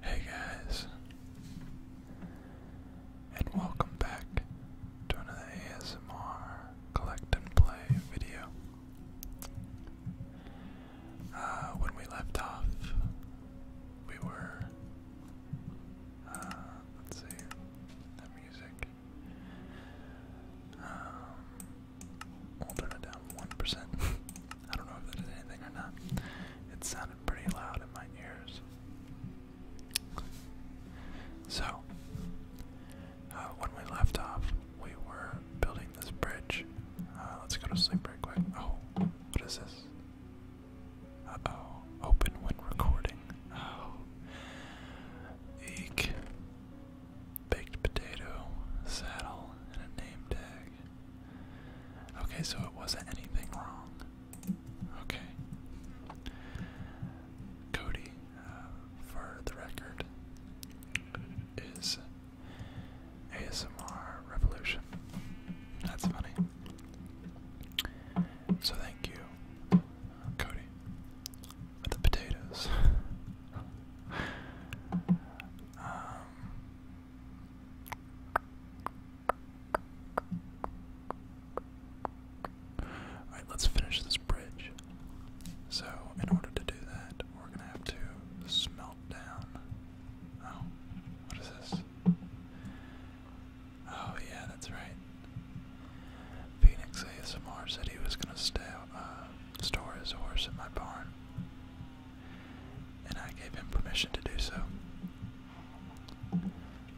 Hey guys, and welcome back to another ASMR collect and play video. Uh, when we left off, we were, uh, let's see, that music. Um, I'll turn it down 1%. I don't know if that is anything or not. It sounded pretty loud in my ears. So, uh, when we left off, we were building this bridge. Uh, let's go to sleep right quick. Oh, what is this? oh, open when recording. Oh, eek. Baked potato, saddle, and a name tag. Okay, so it wasn't anything wrong. Okay. Cody, uh, for the record, is ASMR Revolution. That's funny. So thank you, Cody, for the potatoes. Um, Alright, let's finish this bridge. So, in order to do that, we're gonna have to smelt down. Oh, what is this? Oh, yeah, that's right. Phoenix ASMR said he was gonna uh, store his horse in my barn and I gave him permission to do so.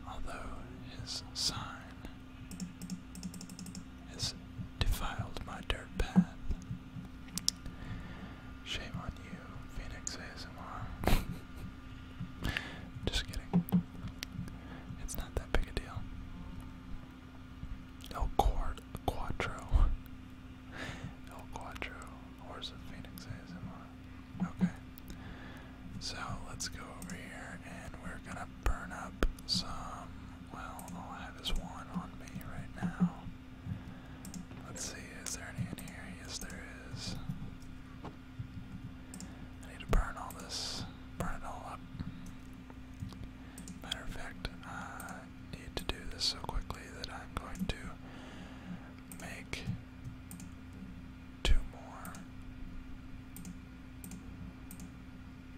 Although his sign has defiled my dirt path. Shame on you, Phoenix ASMR. Just kidding. It's not that big a deal. Oh, quad, quattro. El Quattro, Horse of Phoenix Okay. So let's go over here and we're gonna burn up some. Well, I'll have this one on me right now. Let's see, is there any in here? Yes, there is. I need to burn all this, burn it all up. Matter of fact, need to do this so quickly that I'm going to make two more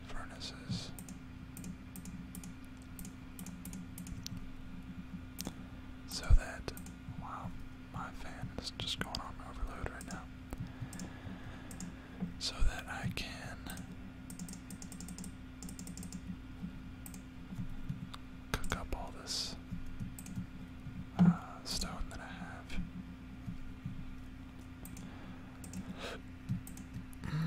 furnaces. So that, wow, my fan is just going on overload right now. So that I can cook up all this uh, stone that I have.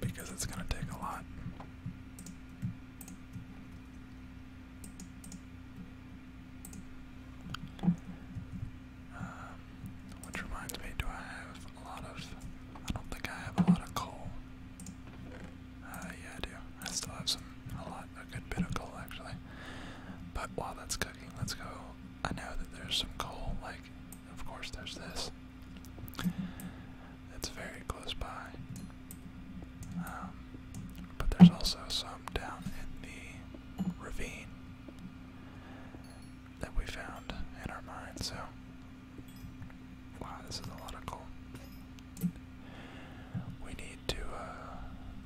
Because it's going to take a lot. Um, which reminds me, do I have a lot of. I don't think I have a lot of coal. Uh, yeah, I do. I still have some, a lot, a good bit of coal actually. But while that's cooking, let's go. I know that there's some coal, like, of course, there's this. It's very close by. Um, but there's also some down in the ravine that we found in our mine, so Wow, this is a lot of coal. We need to uh,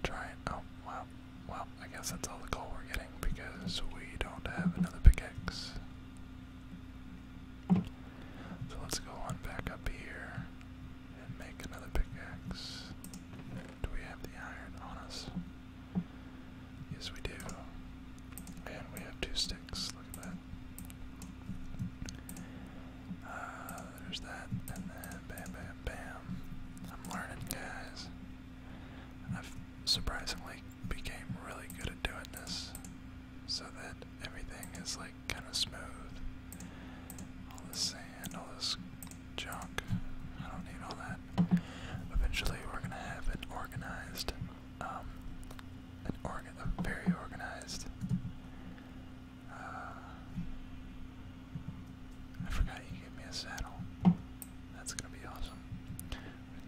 try and. Oh, wow. Well, I guess that's all the coal we're getting because we don't have another pickaxe. So let's go on back up here and make another pickaxe. Do we have the iron on us? Yes, we do. And we have two sticks. Look at that. Uh, there's that, and then bam, bam, bam. I'm learning, guys. I've surprisingly became really good at doing this, so that everything is like kind of smooth. All this sand, all this junk. I don't need all that. Eventually, we're gonna have it organized um, an organ, a very organized. Uh, I forgot you gave me a saddle. That's gonna be awesome.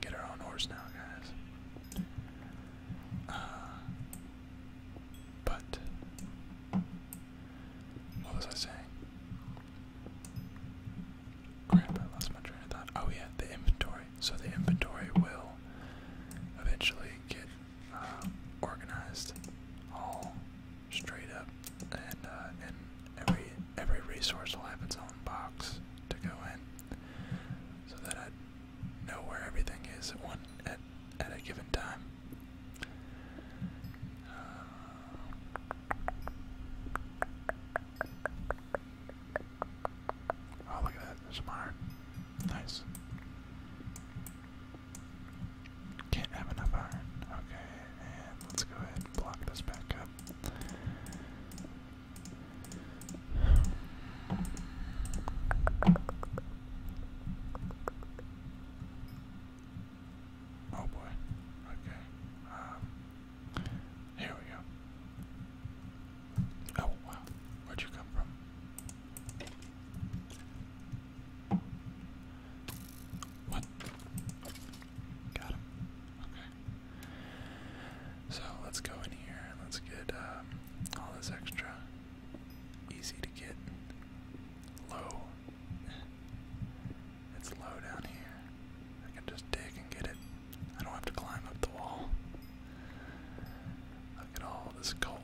get our own horse now, guys. Uh, but what was I saying? Oh yeah, the inventory. So the inventory will eventually get um, organized all straight up, uh, and every every resource will have its own box to go in, so that I know where everything is at one at at a given time. Uh, Oh, look at that. There's some iron. Nice. Can't have enough iron. Okay, and let's go ahead and block this back up. Oh boy. Okay. Um, here we go. Oh, wow. Where'd you come from? What? Got him. Okay. So let's go in here and let's get um, all this extra. Easy to get. Low. It's low down here. I can just dig and get it. I don't have to climb up the wall. Look at all this coal.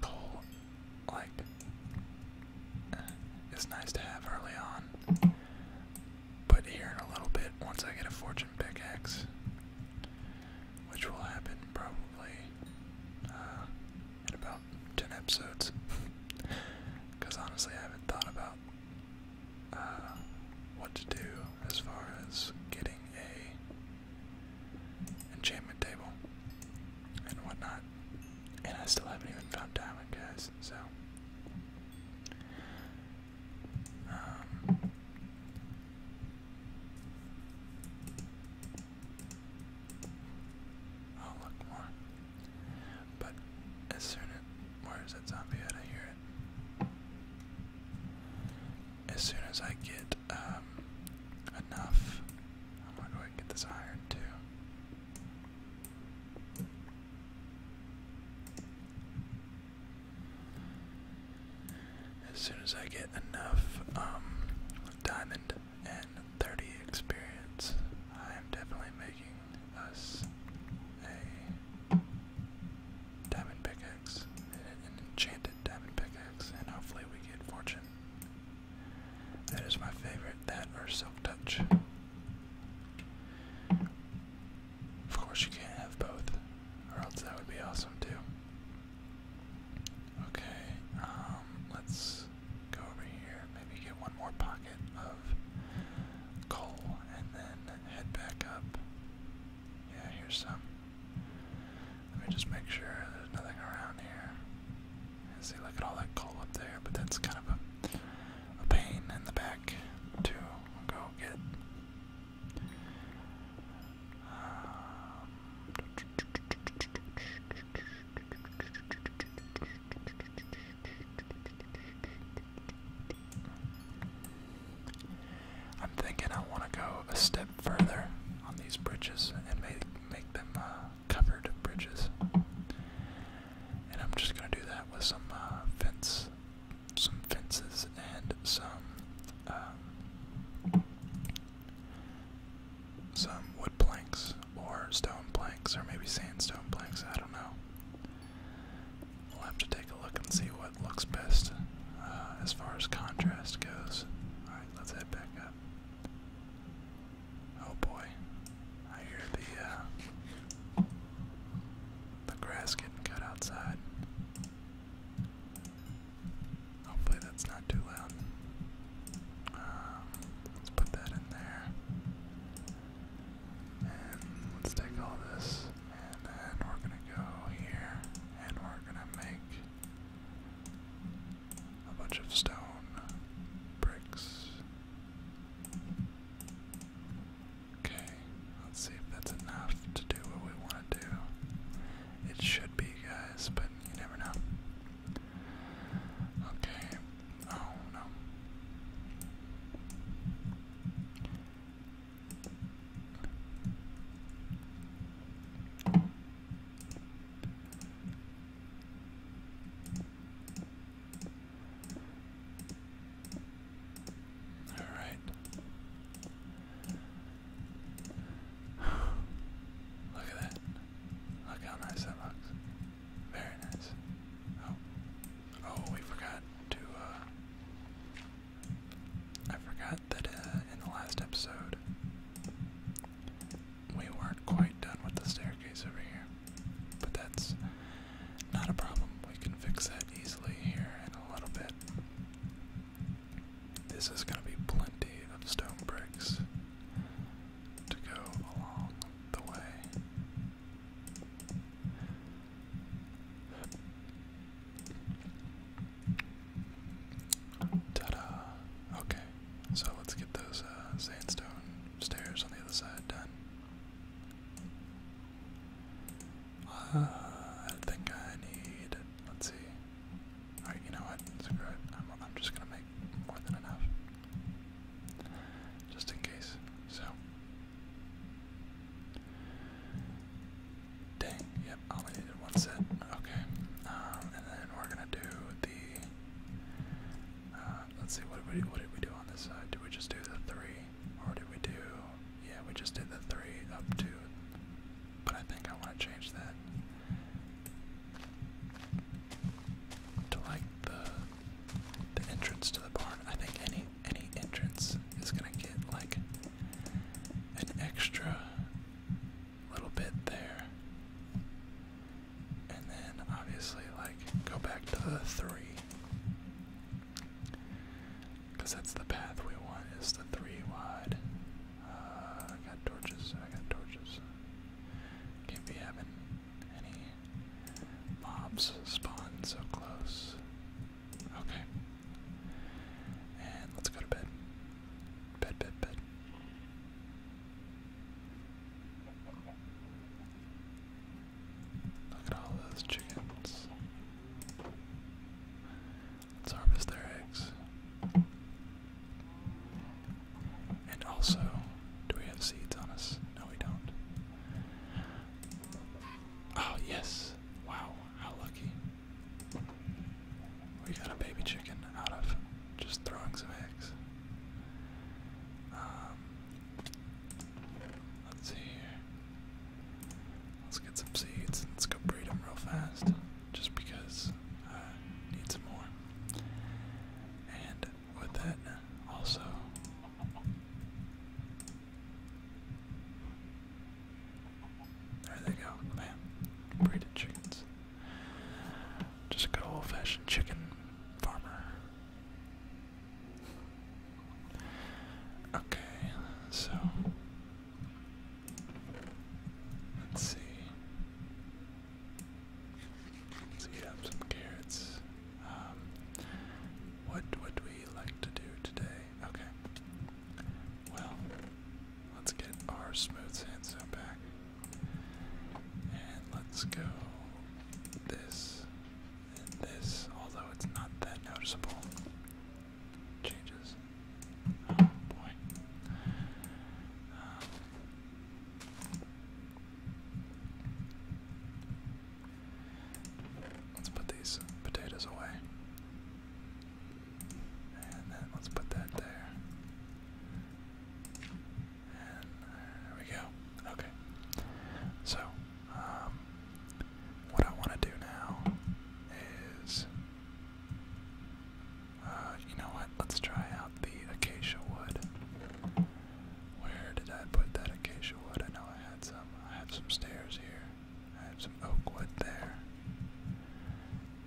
Coal, like, uh, it's nice to have early on. But here in a little bit, once I get a fortune pickaxe, which will happen probably uh, in about 10 episodes. Because honestly, I haven't thought about uh, what to do as far as getting a enchantment table and whatnot. And I still haven't even found diamond guys, so um, I'll look more. But as soon as where is that zombie I hear as soon as I get um, enough, I'm going get this iron too. As soon as I get enough um, diamond and 30 experience, I am definitely making us a diamond pickaxe, an enchanted diamond pickaxe, and hopefully we get fortune. That is my favorite, that or silk touch. Of course you can't have both, or else that would be awesome too. Okay, um, let's go over here, maybe get one more pocket of coal and then head back up. Yeah, here's some. Let me just make sure there's nothing around here. And see, look at all that coal up there, but that's kind of a, a pain in the back to go get. Um, I'm thinking I want to go a step further on these bridges and make make them uh, covered bridges. And I'm just gonna do that with some uh, fence, some fences, and some um, some wood planks or stone planks or maybe sandstone planks. I don't know. We'll have to take a look and see what looks best uh, as far as contrast goes. Alright, let's head back up. Oh boy, I hear the, uh, the grass getting cut outside. Hopefully that's not too loud. Um, let's put that in there let's take all this, and then we're gonna go here, and we're gonna make a bunch of stone bricks. Okay, let's see if that's enough to do what we want to do. It should be, guys, but you never know. Okay, oh no. All right. Look at that. Look how nice that looks. Very nice. Oh, Oh, we forgot to, uh, I forgot that uh, in the last episode, we weren't quite done with the staircase over here. But that's not a problem. We can fix that easily here in a little bit. This is going to be plenty of stone bricks to go along the way. Ta-da! Okay, so let's get those uh, sandstone stairs on the other side done. Uh, I think I need. Let's see. Alright, you know what? Screw it. I'm just gonna make more than enough. Just in case. So, Dang, yep, I only needed one set. Okay. Um, and then we're gonna do the uh, let's see what did we what did we do on this side? Did we just do the three? Or did we do yeah, we just did the three up to but I think I wanna change that to like the the entrance to the barn. I think any any entrance is gonna get like an extra little bit there. And then obviously like go back to the three. Cause that's the path we want is the three wide. Uh, I got torches, I got torches. Can't be any mobs spawn so close. Okay. And let's go to bed. Bed, bed, bed. Look at all those chickens. Let's harvest their eggs. And also, do we have seeds on us? No, we don't. Oh, yes. Wow, how lucky. We got a baby chicken out of just throwing some eggs. Um, let's see here. Let's get some seeds. Let's go breed them real fast, just because I need some more. And with that, also, there they go, man. Braided chickens. Just a good old fashioned chicken farmer. Okay, so let's see. Let's eat up some carrots. Um, what would we like to do today? Okay. Well, let's get our smooth sandstone back. And let's go this and this, although it's not that noticeable. Changes. Oh boy. Um, Let's put these potatoes away. And then let's put that there. And there we go. Okay. So, um, what I want to do now is. Uh, you know what? Let's try out the acacia wood. Where did I put that acacia wood? I know I had some. I have some stairs here. I have some oak wood there.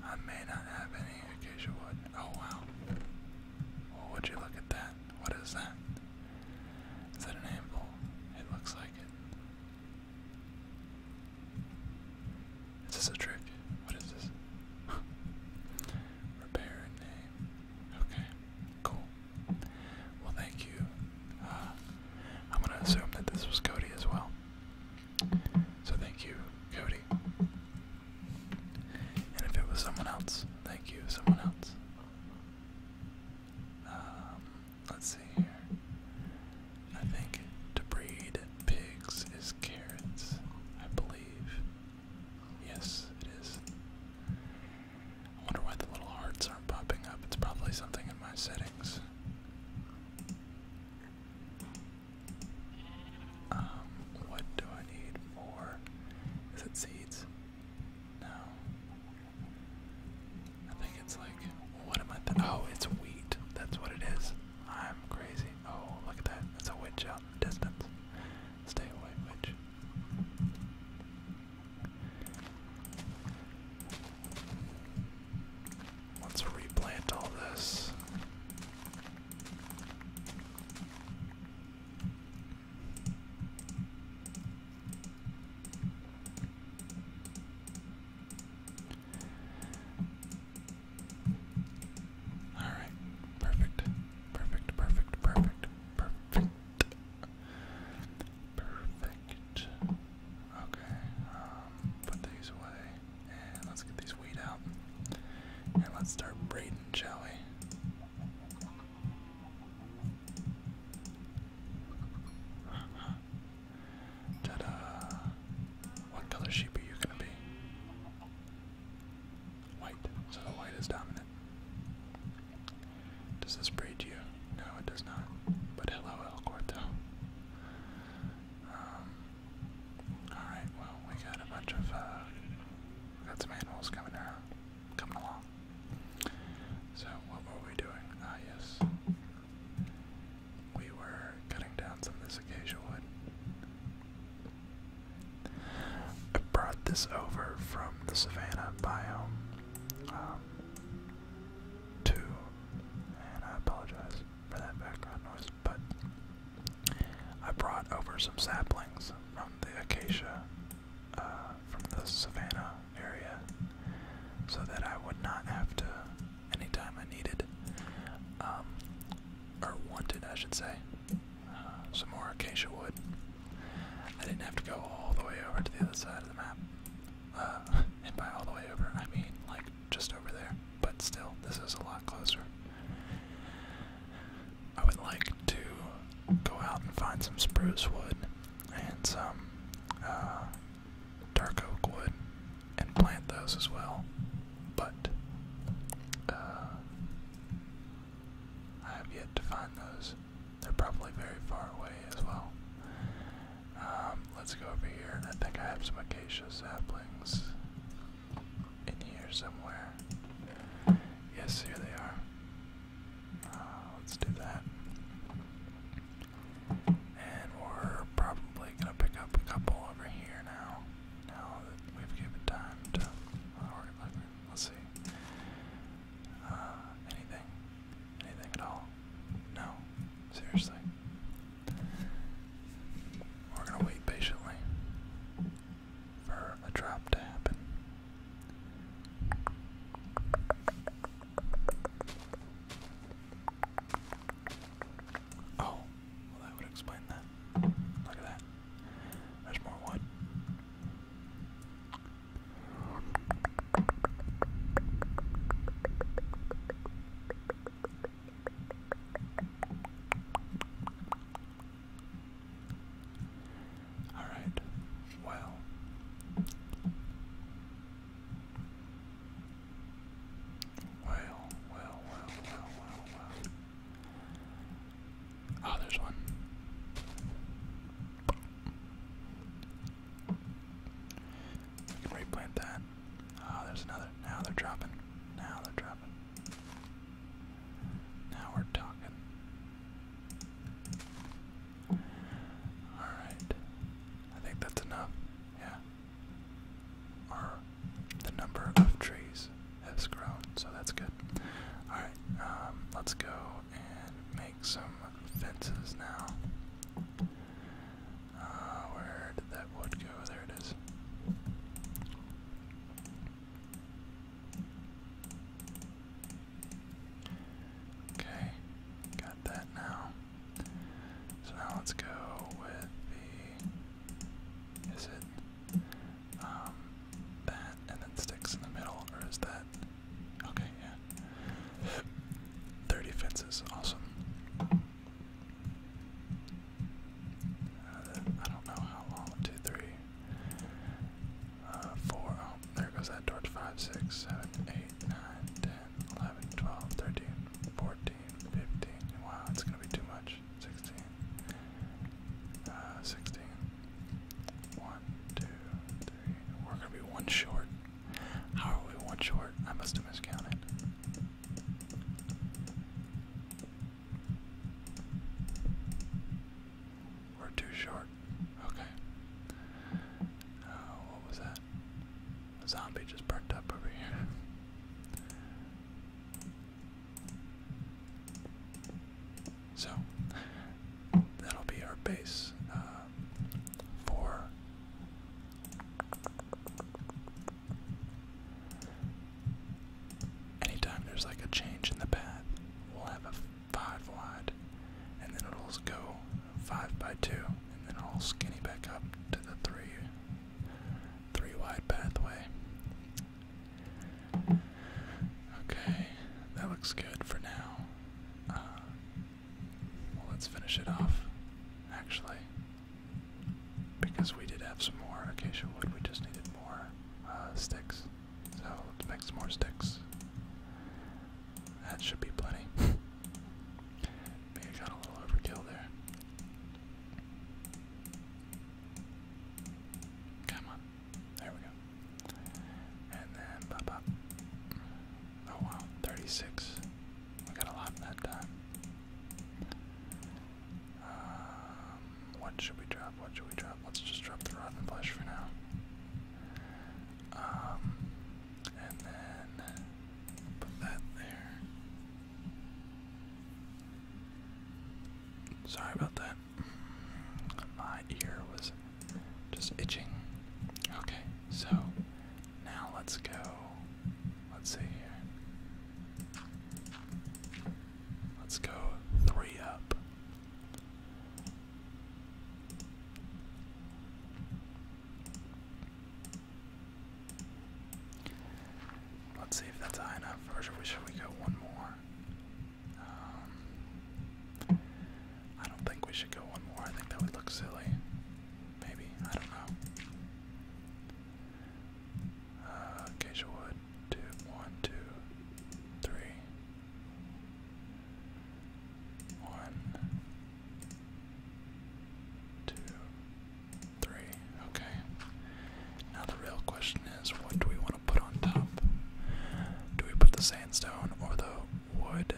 I may not have any acacia wood. Oh wow. What would you look at that? What is that? Is that an anvil? It looks like it. Is this a trick? What is this? Repair and name. Okay, cool. Well, thank you. Uh, I'm going to assume that this was Cody as well. So thank you, Cody. And if it was someone else, thank you, someone else. Um, let's see here. I think to breed pigs is carrots, I believe. Yes, it is. I wonder why the little hearts aren't popping up. It's probably something in my settings. Um, what do I need for? Is it seeds? No. I think it's like, what am I Oh, it's wheat. That's what it is. I'm crazy. Oh, look at that. It's a witch out in the distance. Stay away, witch. Let's replant all this. All right, perfect, perfect, perfect, perfect, perfect. Perfect. Okay, um, put these away, and let's get these weed out. And let's start braiding, shall we? ta What color sheep are you gonna be? White. So the white is dominant. Does this breed you? No, it does not. But hello, El Corto. Um, alright, well, we got a bunch of, uh, got some animals coming around, coming along. So, what were we doing? Ah, yes. We were cutting down some of this acacia wood. I brought this over from the savannah biome. Um, two, and I apologize for that background noise, but I brought over some saplings from the acacia, uh, from the savannah area, so that I would not have to, anytime I needed, um, or wanted, I should say, uh, some more acacia wood. I didn't have to go all the way over to the other side of the map and by all the way over, I mean like just over there. But still, this is a lot closer. I would like to go out and find some spruce wood and some uh, dark oak wood and plant those as well. But uh, I have yet to find those. They're probably very far away as well. Um, let's go over here. I think I have some acacia saplings in here somewhere. Yes, here they are. Uh, let's do that. And we're probably going to pick up a couple over here now. Now that we've given time to. Oh, let's see. Uh, anything? Anything at all? No. Seriously. We're gonna wait patiently for a drop to happen. Oh, well, that would explain that. Look at that. There's more wood. All right. Well. Well, well, well, well, well, Oh, there's one. We can replant that. Oh, there's another. Now they're dropping. Now they're dropping. Now we're talking. Alright. I think that's enough. Yeah. Our, the number of trees has grown, so that's good. Alright, um, let's go and make some fences now. Uh, where did that wood go? There it is. Okay, got that now. So now let's go with the. Is it um, and then sticks in the middle, or is that Okay, yeah. 30 fences, awesome. Uh, I don't know how long. One, two, three, uh, Oh, there goes that torch. Five, six, seven, eight, nine, ten, eleven, twelve, thirteen, fourteen, fifteen. Wow, it's gonna be too much. Sixteen. Uh, sixteen. One, two, three. We're gonna be one short. How are we one short? I must have miscounted. We're too short. Okay. Uh, what was that? A zombie just burnt up over here. So, That'll be our base uh, for anytime there's like a change in the path, we'll have a five wide, and then it'll go five by two, and then it skinny back up to the three, three wide pathway. Okay, that looks good for now. Uh, let's finish it off, actually. Because we did have some more acacia wood, we just needed more uh, sticks. So let's make some more sticks. That should be plenty. Maybe got a little overkill there. Come on. There we go. And then Oh wow, 36. We got a lot that time. Um, what should we drop? What should we drop? Let's just drop the rotten flesh for now. Um, and then put that there. Sorry about that. My ear was just itching. Okay, so now let's go. Let's see here. Let's go three up. Let's see if that's high enough, or should we, should we go one more? Um, I don't think we should go one more. I think that would look silly. Maybe. I don't know. Uh, wood. Two, one, two, three. One, two, three. Okay. Now the real question is what do we want to put on top? Do we put the sandstone or the wood?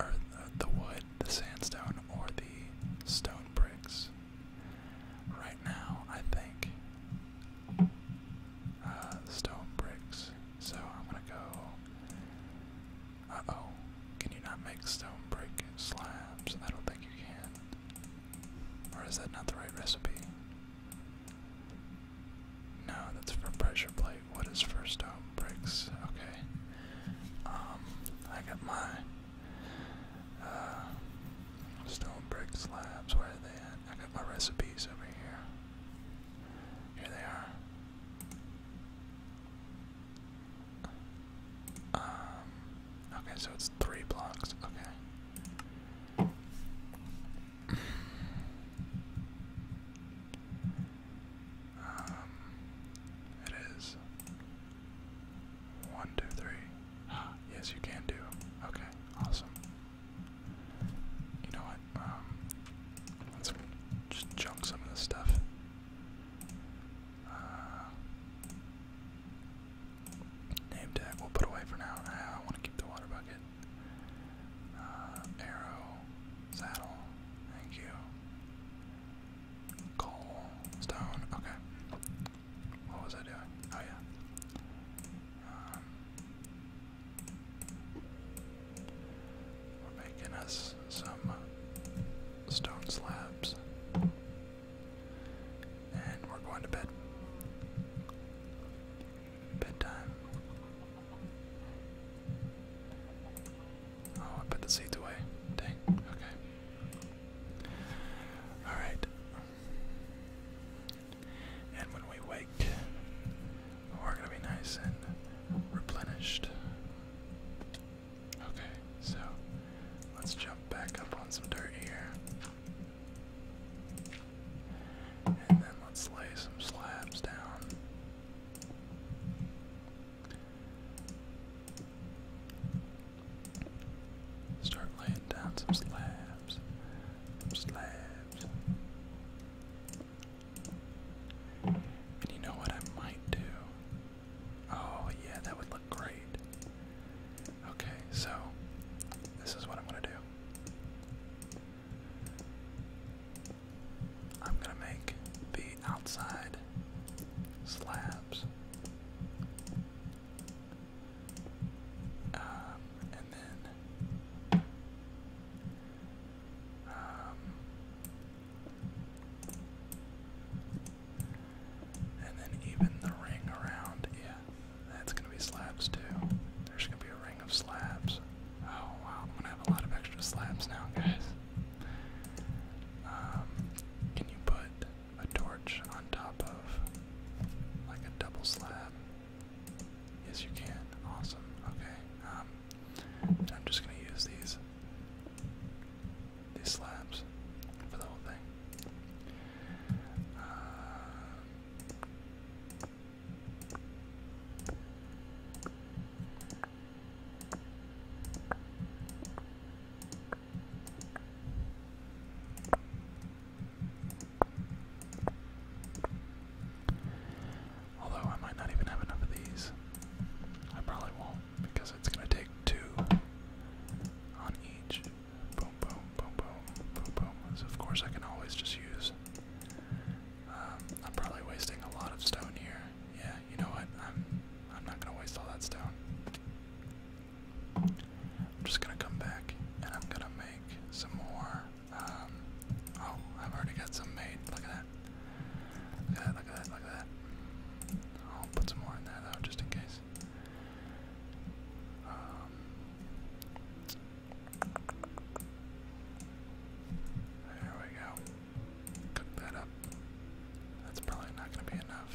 or the wood, the sandstone, or the stone bricks. Right now, I think uh, stone bricks. So I'm gonna go. Uh oh, can you not make stone brick slabs? I don't think you can. Or is that not the right recipe? No, that's for pressure plate. What is first stone Bricks. Okay. Um, I got my uh, stone brick slabs. Where are they at? I got my recipes over here. Here they are. Um, okay, so it's three blocks. Okay. Um, it is one, two, three. yes, you can do. Okay, awesome. You know what? Um, let's just junk some of this stuff. Uh, name tag we'll put away for now. I, want to keep the water bucket. Uh, arrow. Saddle. Thank you. Coal. Stone. Okay. What was I doing? Oh, yeah. Um, we're making us some stone slabs. And we're going to bed. Bedtime. Oh, I put the seeds away. Dang, okay. Alright. And when we wake, we're gonna be nice and replenished. Okay, so let's jump back up on some dirt here. And then let's lay some slabs down. Start laying down some slabs. slabs. And you know what I might do? Oh, yeah, that would look great. Okay, so this is what I'm gonna do. I'm gonna make the outside slabs. Um, and then um, and then even the ring around, yeah, that's gonna be slabs too. There's gonna be a ring of slabs. Oh wow, I'm gonna have a lot of extra slabs now, guys. Um, can you put a torch on top of like a double slab? Yes, you can. Awesome. Okay. Um, I'm just gonna use these these slabs for the whole thing. Uh, Although I might not even have enough of these. I probably won't because it's going to take two on each. Boom, boom, boom, boom, boom, boom. So of course, I can always just use um, I'm probably wasting a lot of stone here. Yeah, you know what? I'm I'm not gonna waste all that stone. I'm just gonna come back and I'm gonna make some more. Um, oh, I've already got some made. Look at that. Look at that. Look at that. I'll put some more in there though, just in case. Um, there we go cook that up. That's probably not going to be enough.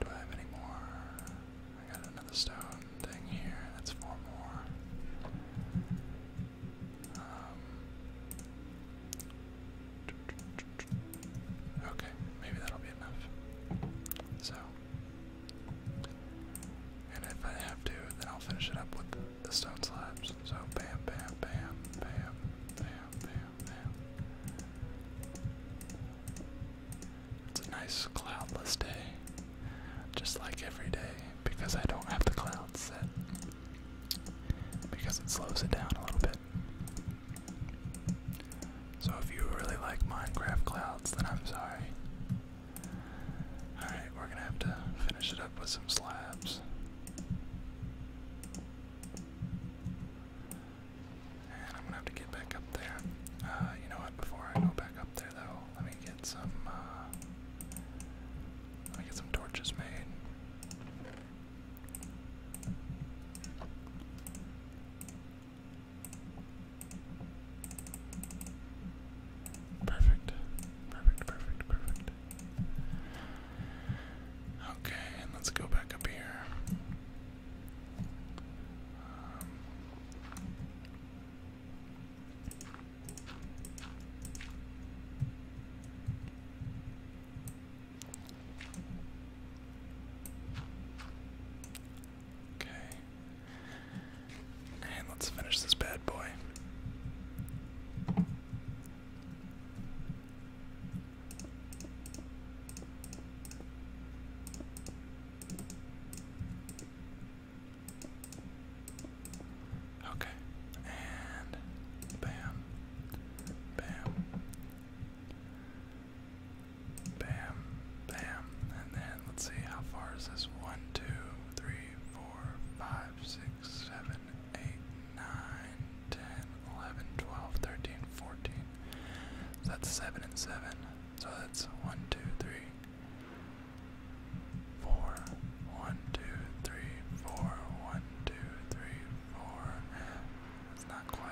Do I have any more? I got another stone thing here. That's four more. Um, okay, maybe that'll be enough. So, and if I have to, then I'll finish it up with the stone slabs. So bam, bam, bam, bam, bam, bam, bam. It's a nice cloudless day. Just like every day, because I don't have the clouds set. Because it slows it down a little bit. So if you really like Minecraft clouds, then I'm sorry. Alright, we're gonna have to finish it up with some slabs. And I'm gonna have to get back up there. Uh, you know what? Before I go back up there, though, let me get some. Uh, let me get some torches made. Perfect. Perfect, perfect, perfect. Okay, let's go back up here. Um, okay. And let's finish this bad boy. Okay, and bam, bam, bam, bam, and then let's see how far is this? One, two, three, four, five, six, seven, eight, nine, ten, eleven, twelve, thirteen, fourteen. So that's seven and seven. So that's one, two, three, four. One, two, three, four. One, two, three, four. That's not quite.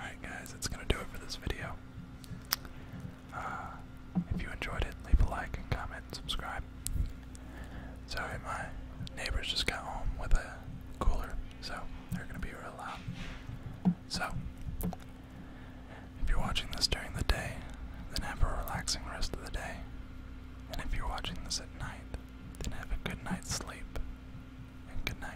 Alright guys, that's gonna do it for this video. Uh, if you enjoyed it, leave a like and comment and subscribe. Sorry, my neighbors just got home with a cooler, so they're gonna be real loud. So, if you're watching this during the day, then have a relaxing rest of the day. And if you're watching this at night, then have a good night's sleep. And good night.